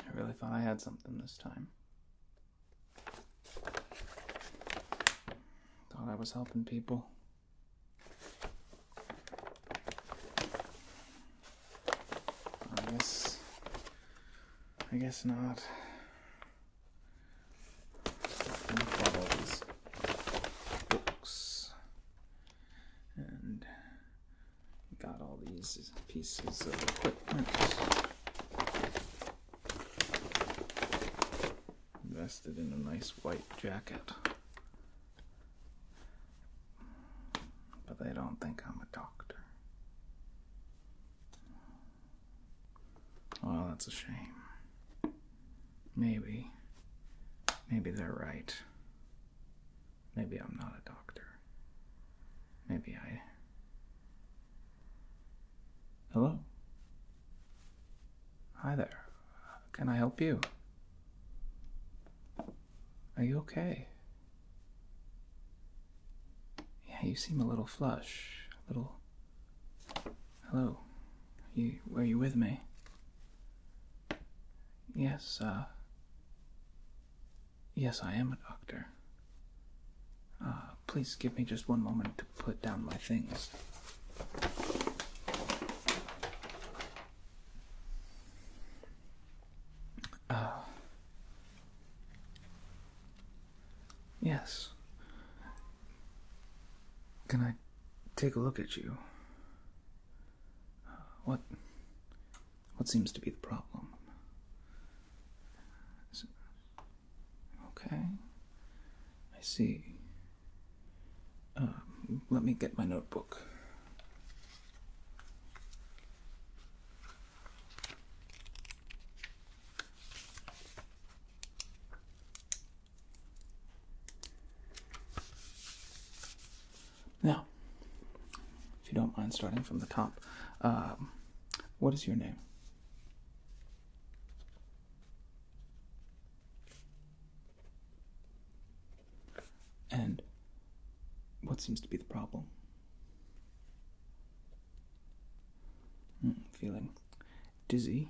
I really thought I had something this time. Thought I was helping people. I I guess not. i all these books and got all these pieces of equipment. Invested in a nice white jacket. But they don't think I'm a doctor. Oh, that's a shame. Maybe. Maybe they're right. Maybe I'm not a doctor. Maybe I. Hello? Hi there. Can I help you? Are you okay? Yeah, you seem a little flush. A little. Hello. Are you, were you with me? Yes, uh, Yes, I am a doctor. Uh, please give me just one moment to put down my things. Uh, Yes. Can I take a look at you? What what seems to be the problem? okay. I see. Um, let me get my notebook. Now, if you don't mind starting from the top, um, what is your name? And what seems to be the problem? Hmm, feeling dizzy,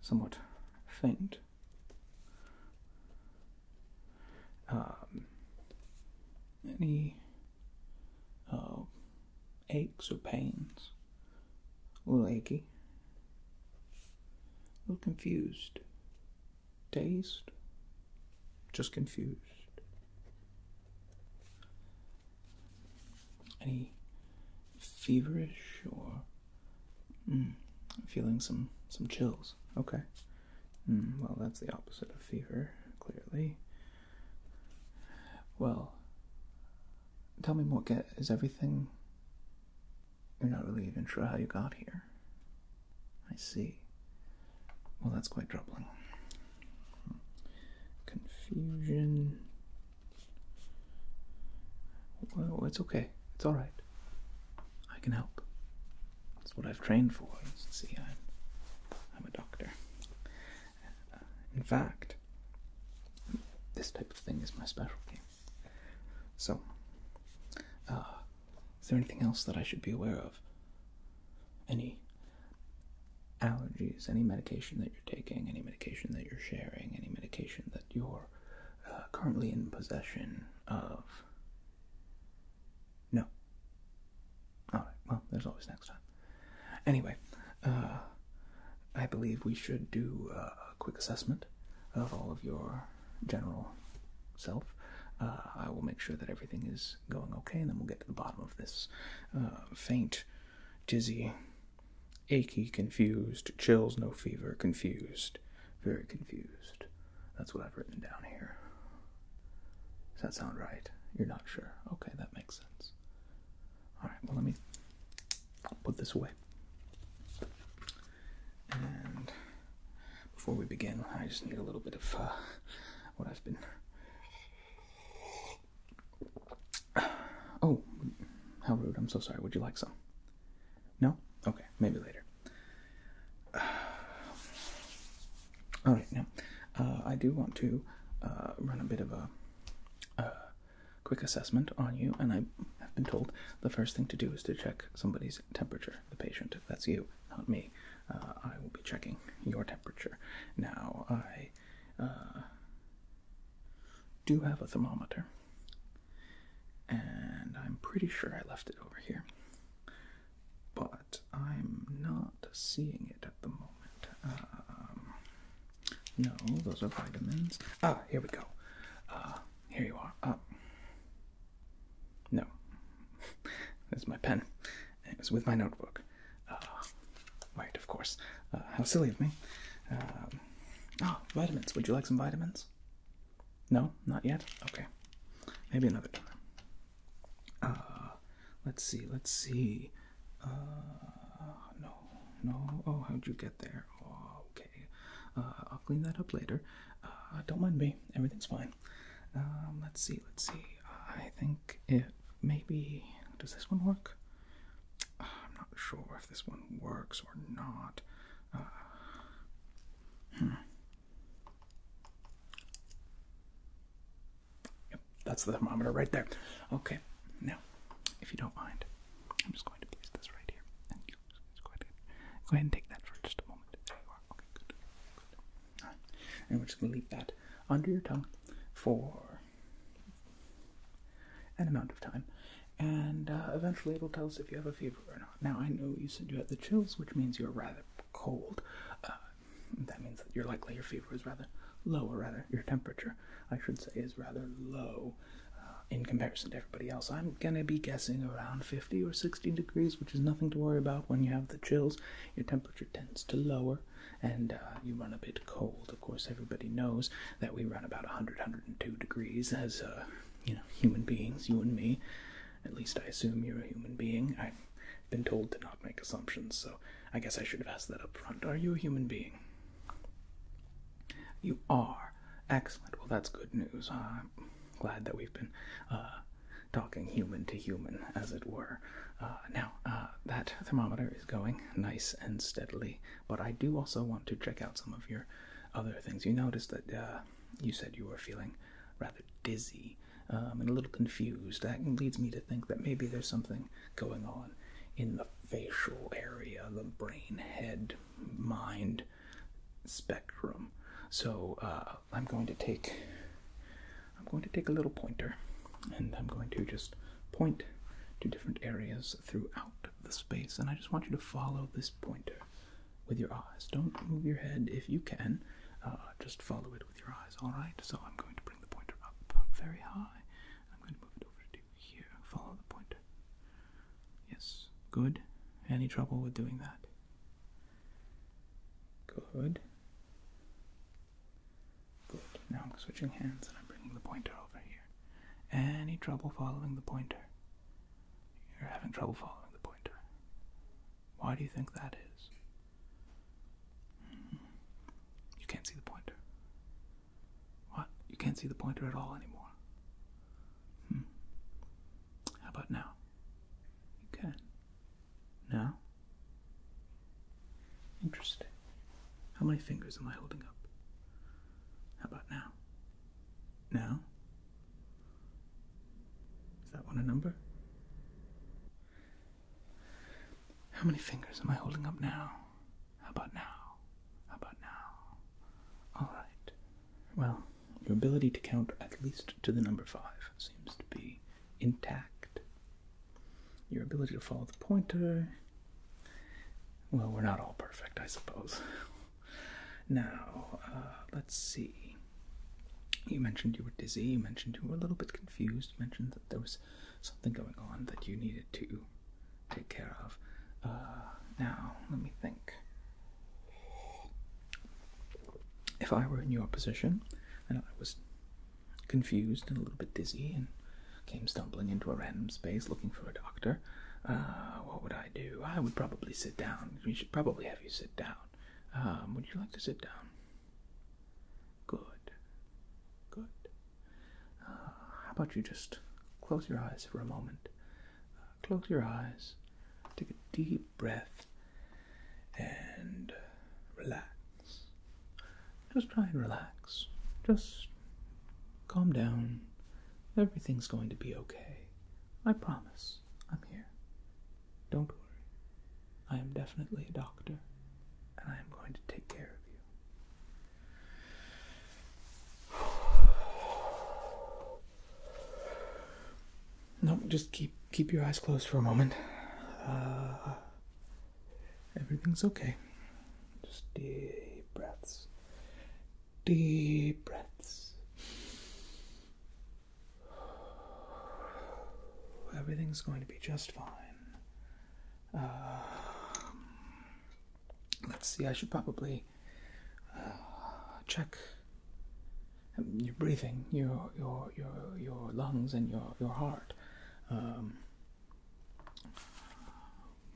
somewhat faint. Um, any uh, aches or pains? A little achy, a little confused, Taste. Just confused. Any feverish or hmm, feeling some some chills? Okay. Hmm, well, that's the opposite of fever, clearly. Well, tell me more. Get is everything? You're not really even sure how you got here. I see. Well, that's quite troubling. Confusion. Well, it's okay. It's all right. I can help. That's what I've trained for. See, I'm, a doctor. Uh, in fact, this type of thing is my specialty. So, uh, is there anything else that I should be aware of? Any allergies, any medication that you're taking, any medication that you're sharing, any medication that you're uh, currently in possession of. No. Alright, well, there's always next time. Anyway, uh, I believe we should do uh, a quick assessment of all of your general self. I will make sure that everything is going okay, and then we'll get to the bottom of this uh, faint, dizzy, achy, confused, chills, no fever, confused, very confused. That's what I've written down here. Does that sound right? You're not sure. Okay, that makes sense. All right, well, let me put this away. And before we begin, I just need a little bit of uh, what I've been Oh, how rude. I'm so sorry. Would you like some? No? Okay, maybe later. all right, now, uh, I do want to uh, run a bit of a uh, quick assessment on you, and I have been told the first thing to do is to check somebody's temperature, the patient. If that's you, not me. Uh, I will be checking your temperature. Now, I uh, do have a thermometer, and I'm pretty sure I left it over here, but I'm not seeing it at the moment. Um, no, those are vitamins. Ah, here we go. Uh, here you are. Uh, no, there's my pen. It was with my notebook. Uh, right, of course. Uh, how silly of me. Um, oh, vitamins. Would you like some vitamins? No, not yet. Okay, maybe another time. Uh, let's see. Let's see. Uh, no, no. Oh, how'd you get there? Oh, okay. Uh, I'll clean that up later. don't mind me. Everything's fine. Um, let's see, let's see. I think it maybe does this one work? Uh, I'm not sure if this one works or not. Uh, hmm. Yep, that's the thermometer right there. Okay, now, if you don't mind, I'm just going to place this right here, go ahead, go ahead and take that for just a moment. There you are. Okay, good. good. And we're just going to leave that under your tongue for an amount of time. And uh, eventually it'll tell us if you have a fever or not. Now, I know you said you had the chills, which means you're rather cold. Uh, that means that you're likely your fever is rather low, rather, your temperature, I should say, is rather low uh, in comparison to everybody else. I'm going to be guessing around 50 or 60 degrees, which is nothing to worry about when you have the chills. Your temperature tends to lower and uh, you run a bit cold. Of course, everybody knows that we run about 100, 102 degrees as uh, you know human beings, you and me. At least I assume you're a human being. I've been told to not make assumptions, so I guess I should have asked that up front. Are you a human being? You are. Excellent. Well, that's good news. I'm glad that we've been uh, talking human to human, as it were. Uh, now, uh, that thermometer is going nice and steadily, but I do also want to check out some of your other things. You noticed that uh, you said you were feeling rather dizzy um, and a little confused. That leads me to think that maybe there's something going on in the facial area, the brain, head, mind spectrum. So I'm going to take I'm going to take a little pointer and I'm going to just point to different areas throughout the space. And I just want you to follow this pointer with your eyes. Don't move your head if you can, uh, just follow it with your eyes, alright? So I'm going to bring the pointer up very high. I'm going to move it over to here. Follow the pointer. Yes, good. Any trouble with doing that? Good. Good. Now I'm switching hands and I'm bringing the pointer over here. Any trouble following the pointer? You're having trouble following the pointer. Why do you think that is? Hmm. You can't see the pointer. What? You can't see the pointer at all anymore. Hmm. How about now? You can. Now? Interesting. How many fingers am I holding up? How about now? Now? Is that one a number? How many fingers am I holding up now? How about now? How about now? Alright. Well, your ability to count at least to the number five seems to be intact your ability to follow the pointer. Well, we're not all perfect, I suppose. now, uh, let's see. You mentioned you were dizzy, you mentioned you were a little bit confused, mentioned that there was something going on that you needed to take care of. Uh, now, let me think. If I were in your position and I was confused and a little bit dizzy and came stumbling into a random space looking for a doctor, uh, what would I do? I would probably sit down. We should probably have you sit down. Um, would you like to sit down? Good. Good. Uh, how about you just close your eyes for a moment? Uh, close your eyes. Take a deep breath and relax. Just try and relax. Just calm down. Everything's going to be okay. I promise. I'm here. Don't worry. I am definitely a doctor, and I am going to take care of you. No, just keep keep your eyes closed for a moment. Uh, Everything's okay. Just deep breaths. Deep breaths. Everything's going to be just fine. Um, let's see, I should probably uh, check um, your breathing, your your your your lungs and your your heart. Um,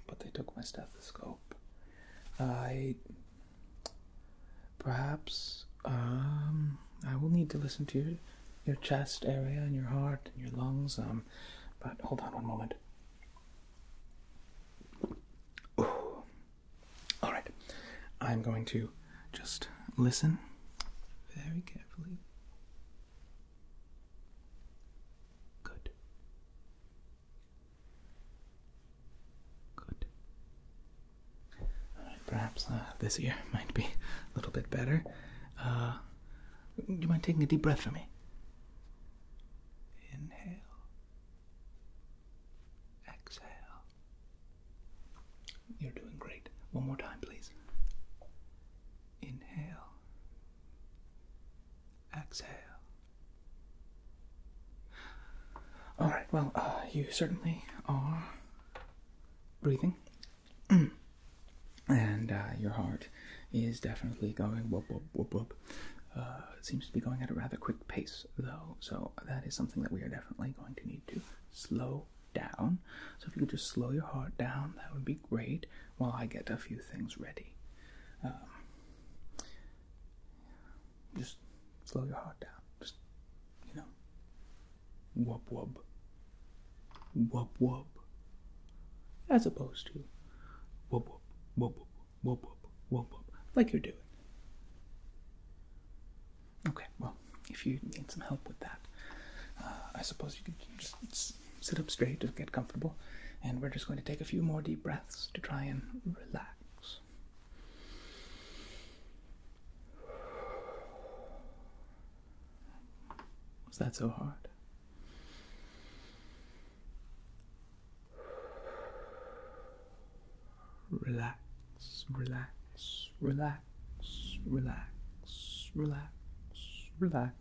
but they took my stethoscope. I perhaps um, I will need to listen to your, your chest area and your heart and your lungs. Um, but hold on one moment. Ooh. All right, I'm going to just listen very carefully. Good. Good. All uh, right, perhaps uh, this year might be a little bit better. Uh, do you mind taking a deep breath for me? Inhale. Exhale. You're doing great. One more time, please. Inhale. Exhale. All right, well, uh, you certainly are breathing. and uh, your heart is definitely going whoop, whoop, whoop, whoop. Uh, it seems to be going at a rather quick pace, though, so that is something that we are definitely going to need to slow down. So if you could just slow your heart down, that would be great while I get a few things ready. Um, just slow your heart down. Just, you know, wub wub. Wub wub. As opposed to wub wub, wub wub, wub wub, wub wub, like you're doing. Okay, well if you need some help with that, uh, I suppose you could just sit up straight and get comfortable. And we're just going to take a few more deep breaths to try and relax. Was that so hard? Relax, relax, relax relax, relax, relax,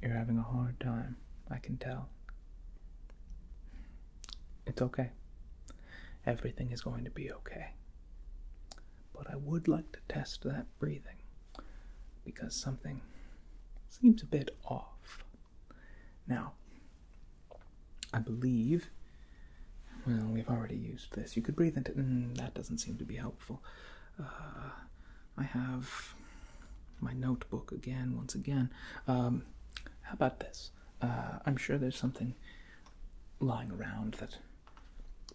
You're having a hard time, I can tell. It's okay. Everything is going to be okay. But I would like to test that breathing because something seems a bit off. Now, I believe. Well, we've already used this. You could breathe into. Mm, that doesn't seem to be helpful. Uh, I have my notebook again, once again. Um, how about this? Uh, I'm sure there's something lying around that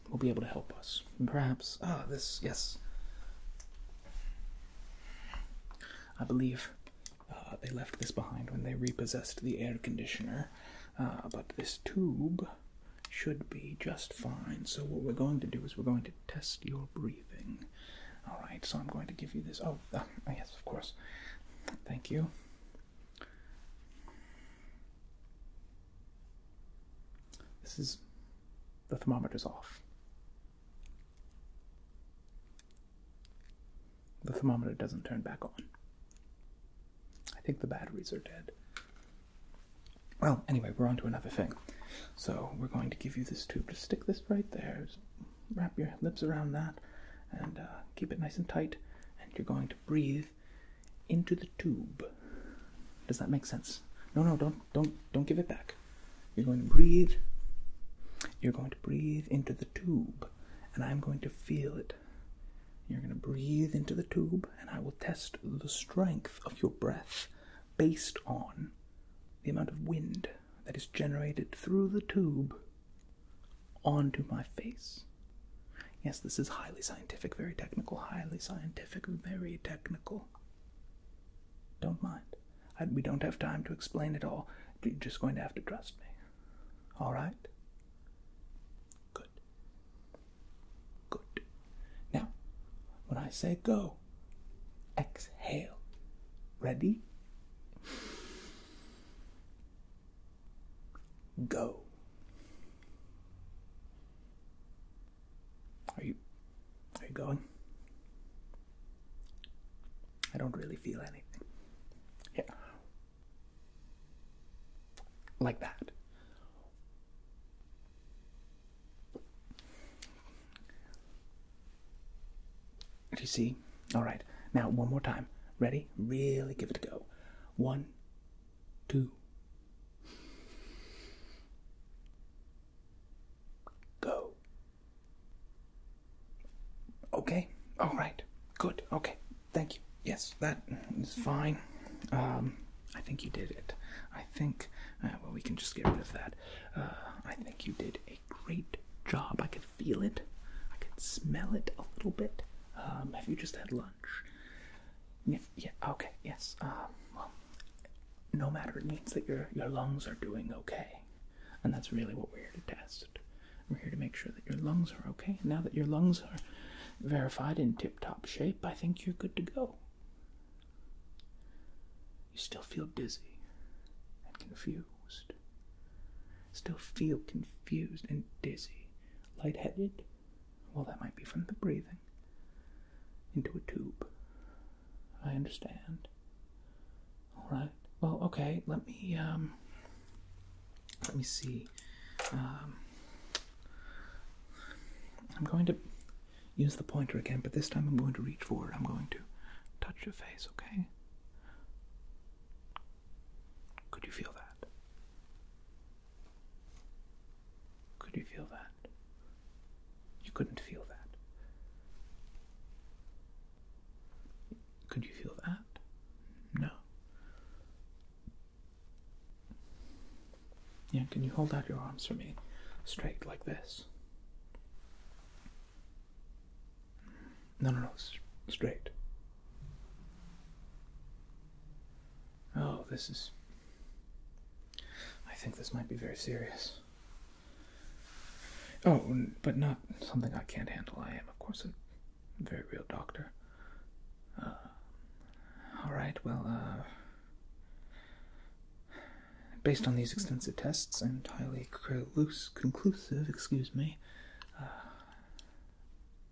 will be able to help us. perhaps. Ah, this. Yes. I believe uh, they left this behind when they repossessed the air conditioner, uh, but this tube should be just fine. So, what we're going to do is we're going to test your breathing. All right, so I'm going to give you this. Oh, uh, oh yes, of course. Thank you. This is the thermometer's off. The thermometer doesn't turn back on. I think the batteries are dead. Well, anyway, we're on to another thing. So, we're going to give you this tube to stick this right there. wrap your lips around that and uh, keep it nice and tight. And you're going to breathe into the tube. Does that make sense? No, no, don't don't don't give it back. You're going to breathe. You're going to breathe into the tube, and I'm going to feel it. You're going to breathe into the tube, and I will test the strength of your breath based on the amount of wind that is generated through the tube onto my face. Yes, this is highly scientific, very technical, highly scientific, very technical. Don't mind we don't have time to explain it all. You're just going to have to trust me. All right? Good. Good. Now, when I say go, exhale. Ready? Go. Are you are you going? I don't really feel anything. Yeah. Like that. Do you see? All right. Now, one more time. Ready? Really give it a go. One, two. Go. Okay. All right. Good. Okay. Thank you. Yes, that is fine. Um, I think you did it. I think, uh, well, we can just get rid of that. Uh, I think you did a great job. I could feel it, I could smell it a little bit. Um, have you just had lunch? Yeah, yeah, okay, yes. Um, well, no matter it means that your your lungs are doing okay and that's really what we're here to test we're here to make sure that your lungs are okay now that your lungs are verified in tip-top shape i think you're good to go you still feel dizzy and confused still feel confused and dizzy lightheaded well that might be from the breathing into a tube I understand. All right. Well, okay. Let me um. Let me see. Um, I'm going to use the pointer again, but this time I'm going to reach for it. I'm going to touch your face. Okay. Could you feel that? Could you feel that? You couldn't feel that. Could you feel that? No. Yeah, can you hold out your arms for me straight like this? No, no, no, straight. Oh, this is. I think this might be very serious. Oh, but not something I can't handle. I am, of course, a very real doctor. Uh, all right, well, uh, based on these extensive tests and highly loose, conclusive, excuse me, uh,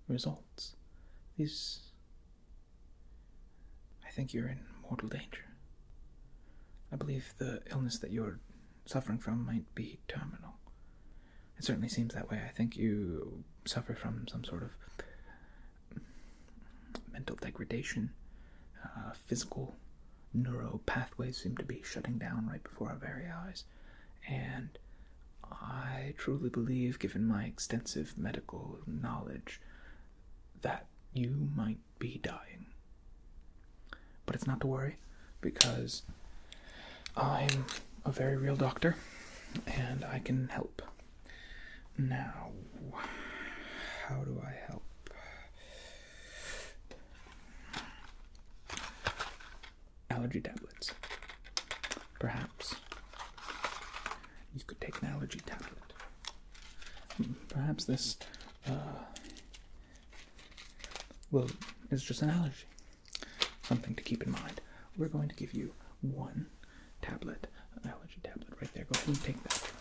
results, these. I think you're in mortal danger. I believe the illness that you're suffering from might be terminal. It certainly seems that way. I think you suffer from some sort of mental degradation. Uh, physical neuro pathways seem to be shutting down right before our very eyes. And I truly believe, given my extensive medical knowledge, that you might be dying. But it's not to worry because I'm a very real doctor and I can help. Now, how do I help? Allergy tablets. Perhaps you could take an allergy tablet. Hmm, perhaps this uh, well, it's just an allergy. Something to keep in mind. We're going to give you one tablet, an allergy tablet right there. Go ahead and take that.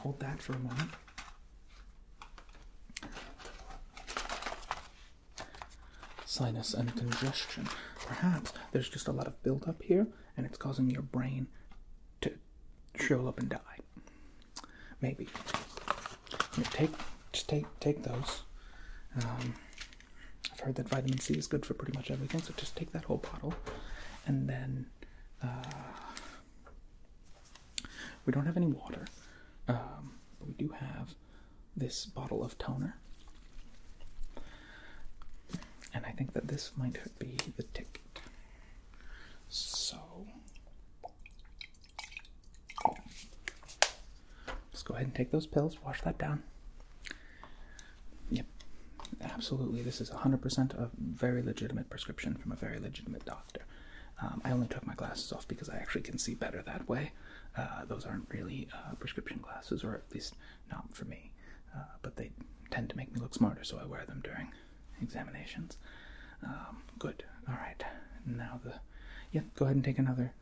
Hold that for a moment. Sinus and congestion. Perhaps there's just a lot of buildup here and it's causing your brain to shrivel up and die. Maybe. take just take take those. Um, I've heard that vitamin C is good for pretty much everything, so just take that whole bottle, and then uh, we don't have any water, um, but we do have this bottle of toner, and I think that this might be the ticket. So Let's go ahead and take those pills, wash that down. Yep, absolutely. This is 100% a very legitimate prescription from a very legitimate doctor. Um, I only took my glasses off because I actually can see better that way. Uh, those aren't really uh, prescription glasses, or at least not for me, uh, but they tend to make me look smarter, so I wear them during examinations. Um, good. All right. Now the yeah. Go ahead and take another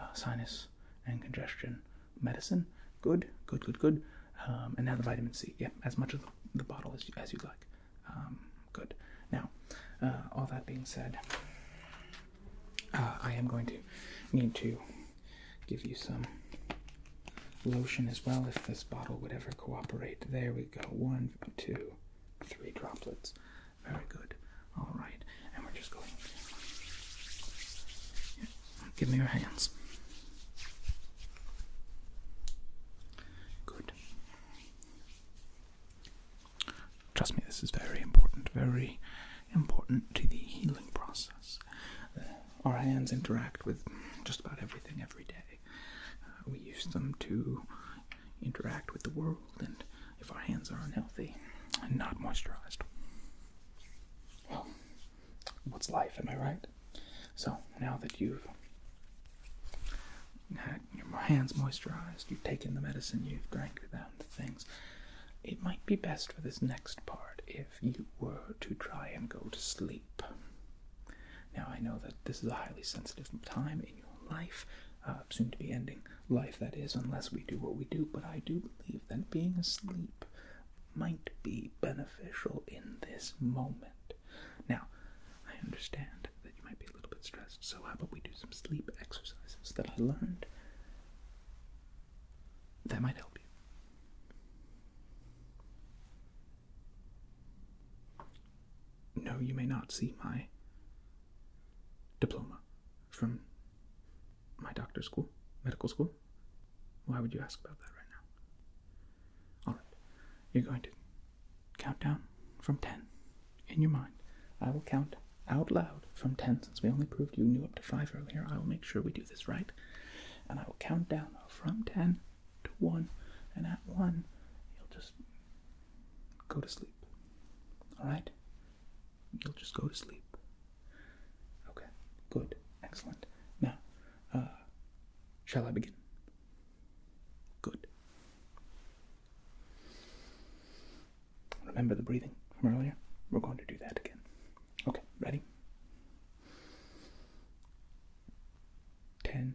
uh, sinus and congestion medicine. Good. Good. Good. Good. Um, and now the vitamin C. Yeah, as much of the, bottle as you, as you like. Um, good. Now, uh, all that being said, uh, I am going to need to give you some lotion as well if this bottle would ever cooperate. There we go. One, two, three droplets. Very good. All right, and we're just going. Give me your hands. Good. Trust me, this is very important, very important to the healing process. Uh, our hands interact with just about everything every day. Uh, we use them to interact with the world, and if our hands are unhealthy and not moisturized, well, what's life, am I right? So, now that you've had your hands moisturized, you've taken the medicine, you've drank down the things, it might be best for this next part if you were to try and go to sleep. Now, I know that this is a highly sensitive time in your life, uh, soon to be ending life, that is, unless we do what we do, but I do believe that being asleep might be beneficial in this moment. Now, I understand that you might be a little bit stressed, so how about we do some sleep exercises that I learned that might help you? No, you may not see my diploma from my doctor's school, medical school. Why would you ask about that right now? Alright, you're going to count down from 10 in your mind. I will count out loud from 10 since we only proved you knew up to 5 earlier. I will make sure we do this right. And I will count down from 10 to one, and at one, you'll just go to sleep. Alright? You'll just go to sleep. Okay, good, excellent. Now, uh, shall I begin? Good. Remember the breathing from earlier? We're going to do that again. Okay, ready? Ten,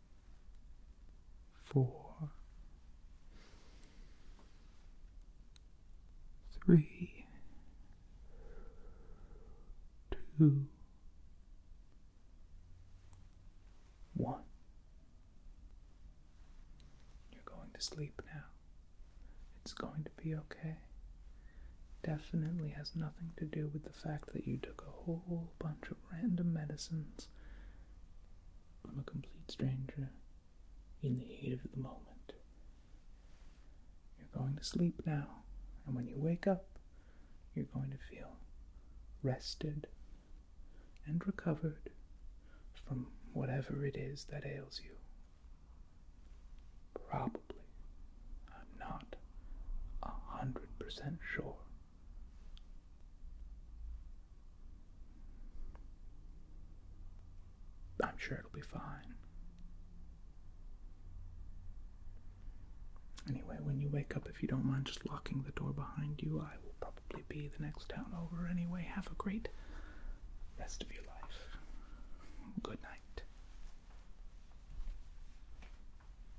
four, three, two, one. You're going to sleep now. It's going to be okay. Definitely has nothing to do with the fact that you took a whole bunch of random medicines I'm a complete stranger in the heat of the moment. You're going to sleep now, and when you wake up, you're going to feel rested and recovered from whatever it is that ails you. Probably. I'm not a hundred percent sure. I'm sure it'll be fine. Anyway, when you wake up, if you don't mind just locking the door behind you, I will probably be the next town over anyway. Have a great rest of your life. Good night.